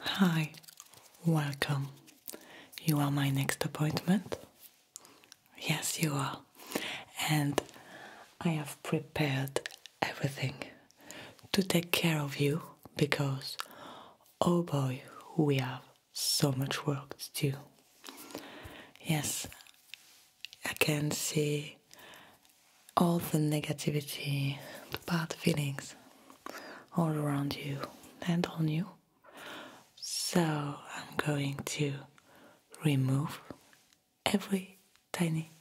Hi, welcome. You are my next appointment? Yes, you are. And I have prepared everything to take care of you because, oh boy, we have so much work to do. Yes, I can see all the negativity, the bad feelings all around you and on you. So I'm going to remove every tiny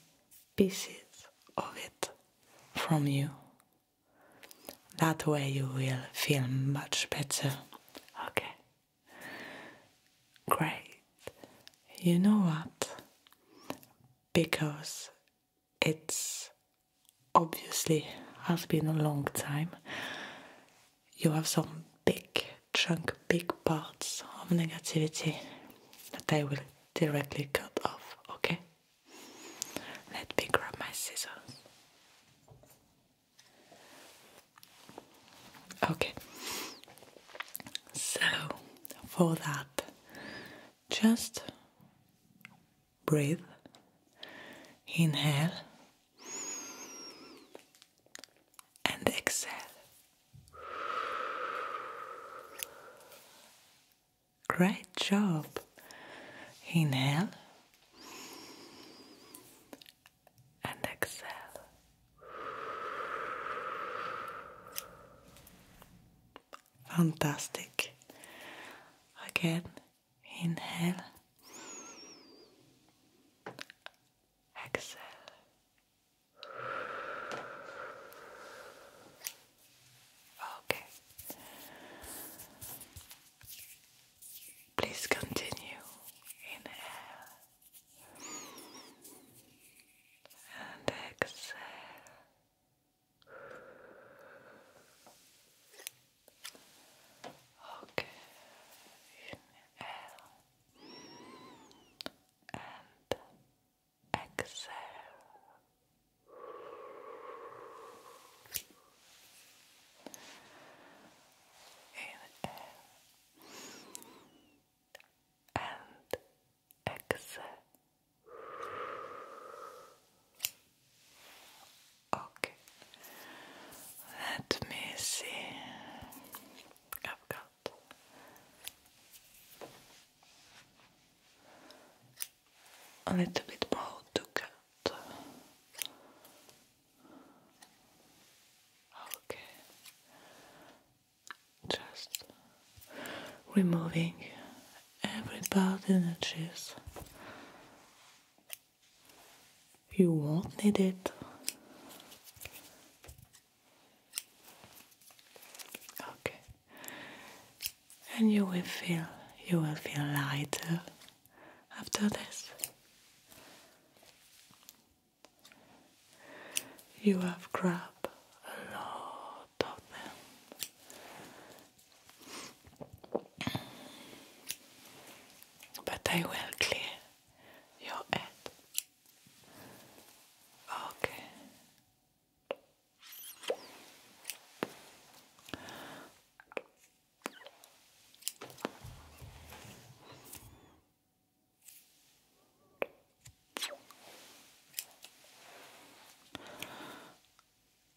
pieces of it from you. That way you will feel much better. Okay. Great. You know what? Because it's obviously has been a long time. You have some big chunk, big parts of negativity that I will directly cut off, okay? Let me grab my scissors. Okay, so for that, just breathe, inhale, and exhale. Great job. Inhale and exhale. Fantastic. Again, inhale, exhale. Okay. Please continue. Inhale and exhale. Ok, inhale and exhale. Inhale and exhale. Okay, let me see. I've got a little bit more to cut. Okay, just removing every bad energies. You won't need it. Okay. And you will feel you will feel lighter after this. You have grabbed a lot but I will clear your head. Okay.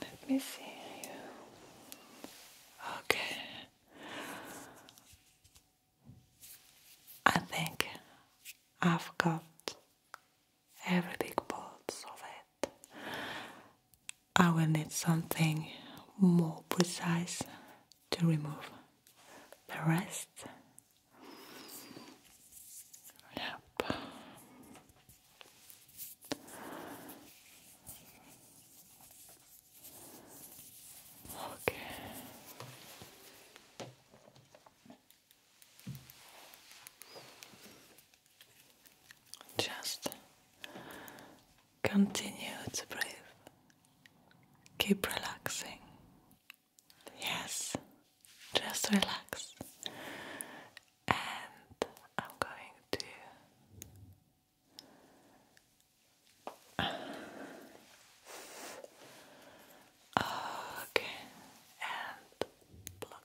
Let me see Okay. I think I've got every big part of it. I will need something more precise to remove the rest. Yep. Okay. Just continue to breathe. Keep relaxing. Yes, just relax and I'm going to okay and pluck pluck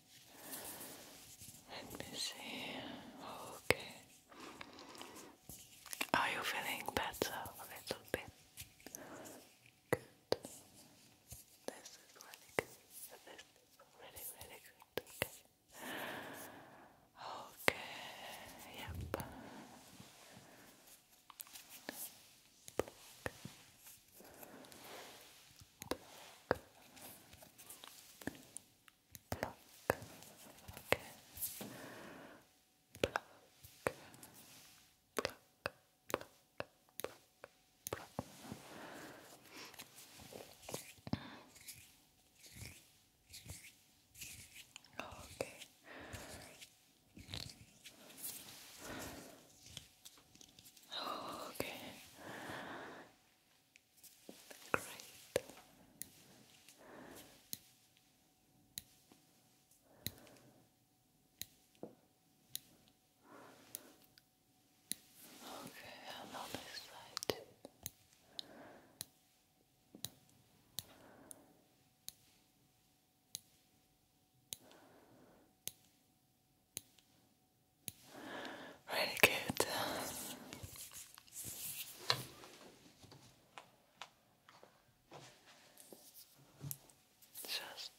let me see. Okay. Are you feeling better a little bit? Good. This is really good. This is really, really good. Okay. Okay. Yep pluck, okay, pluck, pluck, pluck, pluck, pluck. Okay. Okay. Great. Okay, and on this side Really good. Just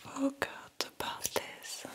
forgot about this. Okay.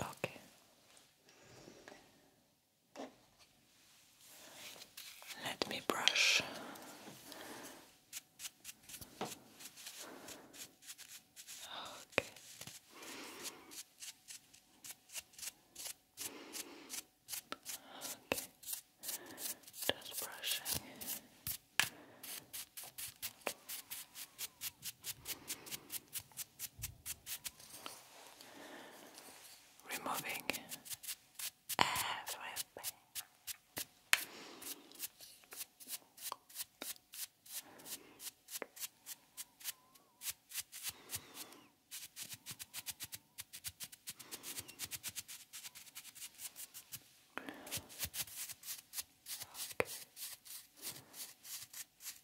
Okay. Let me brush. Okay. Okay. Just brushing removing everything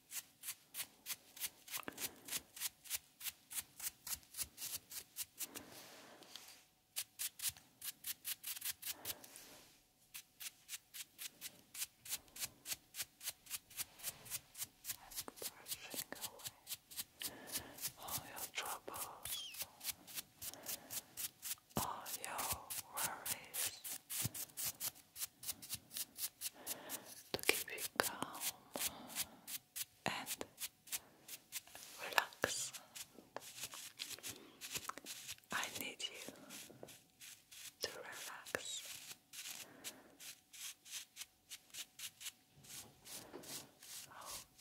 brushing away all your troubles, all your worries to keep you calm and relax. I need you to relax.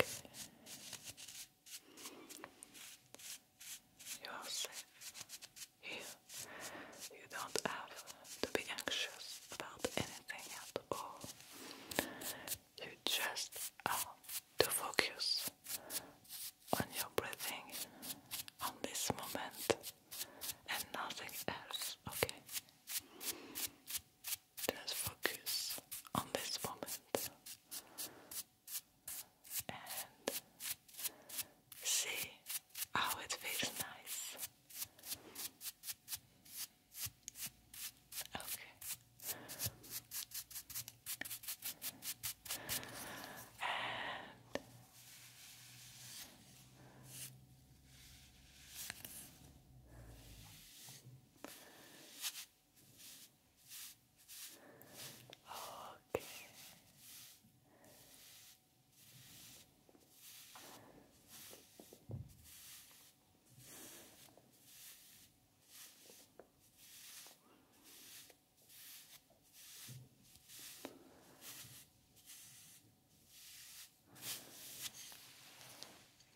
Okay. You are safe here. You don't have to be anxious about anything at all. You just to focus on your breathing on this moment and nothing else, okay? Just focus on this moment and see Oh, it feels nice. Okay. Okay.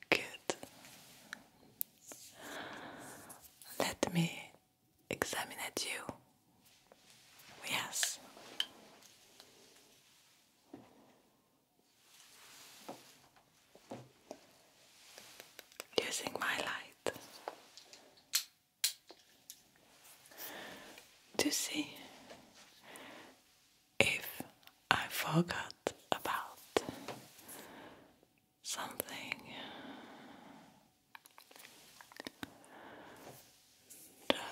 Good. Let me examine at you Yes. Using my light to see if I forgot about something.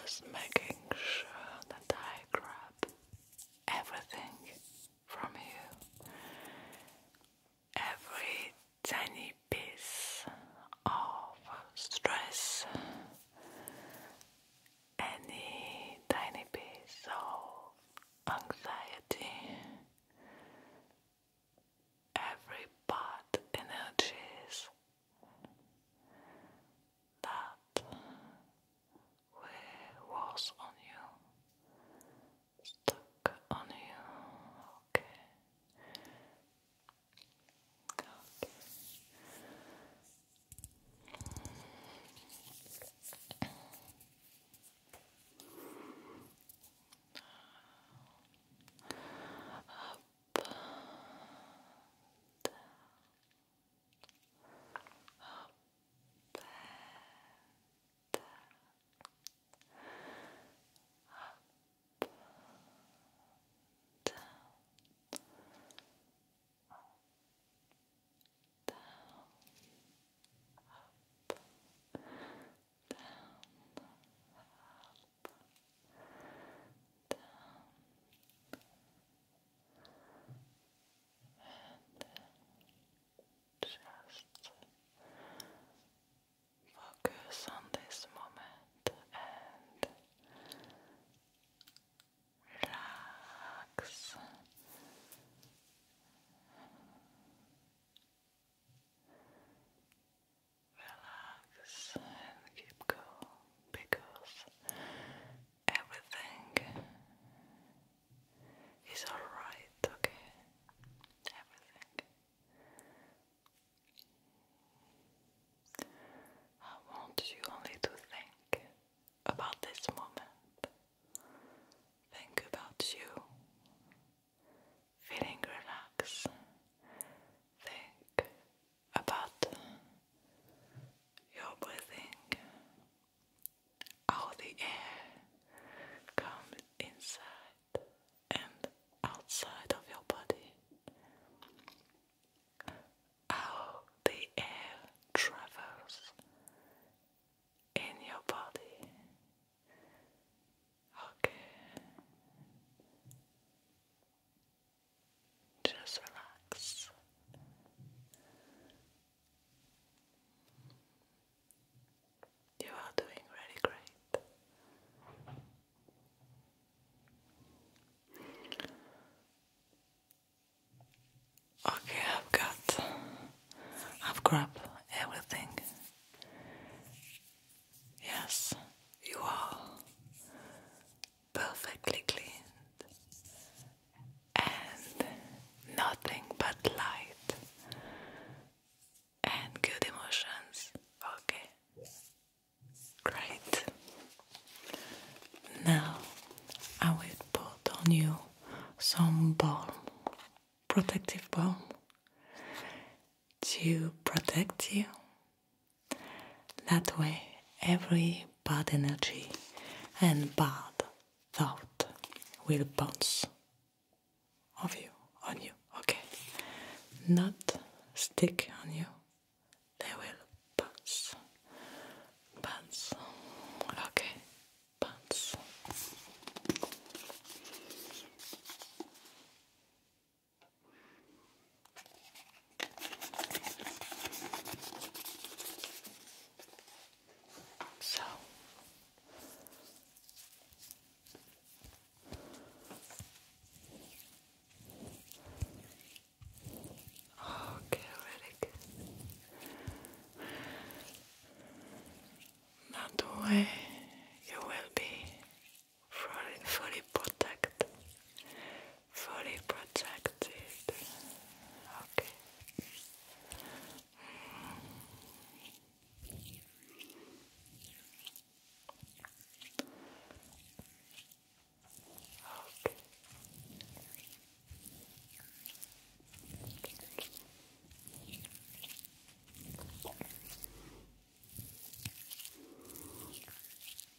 Just making sure that I grab everything from you, every tiny piece of stress, any tiny piece of anxiety, every part energies that was on you, stuck on you, okay. Okay up, down, up, down, up, down, up, down, up, down, and just focus on this moment and relax. Relax and keep going because everything is alright, okay? Everything. I want you only to think about this moment. Think about you feeling relaxed. Think about your breathing, how the air comes inside and outside of your body, how the air travels in your body. Okay. Just relax. You are doing really great. Okay, I've got, I've grabbed everything. Yes, you are perfectly cleaned and nothing but light and good emotions. Okay, great. Now I will put on you some balm, protective balm to protect you that way, every bad energy and bad thought will bounce off you, on you, okay? Not stick on you, they will bounce, bounce, okay, bounce. So okay, really That way you will be fully, fully protected fully protected. Okay. Okay.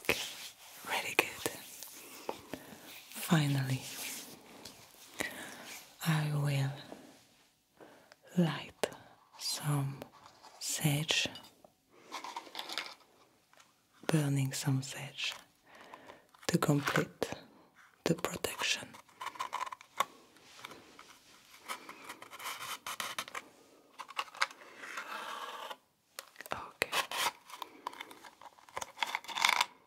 Okay, very good. Finally, I will light some sage, burning some sage to complete the protection. Okay.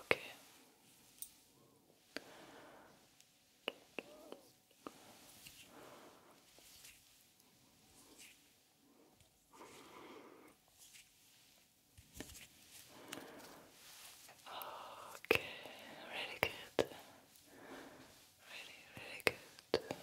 Okay. Okay, really good. Really, really good. Okay.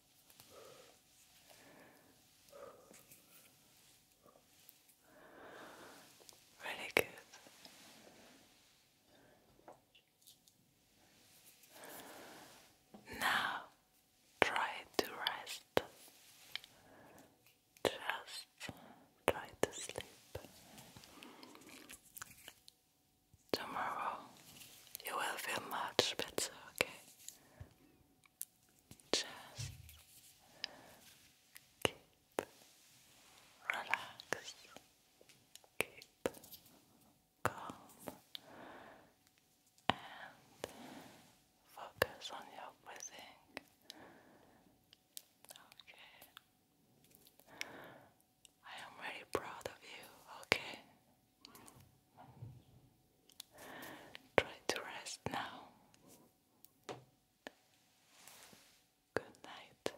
Really good. Now try to rest. Just try to sleep. Tomorrow you will feel much better, okay? Just keep relaxed, keep calm, and focus on your breathing. Okay. I am very proud of you, okay? Try to rest now. Good night.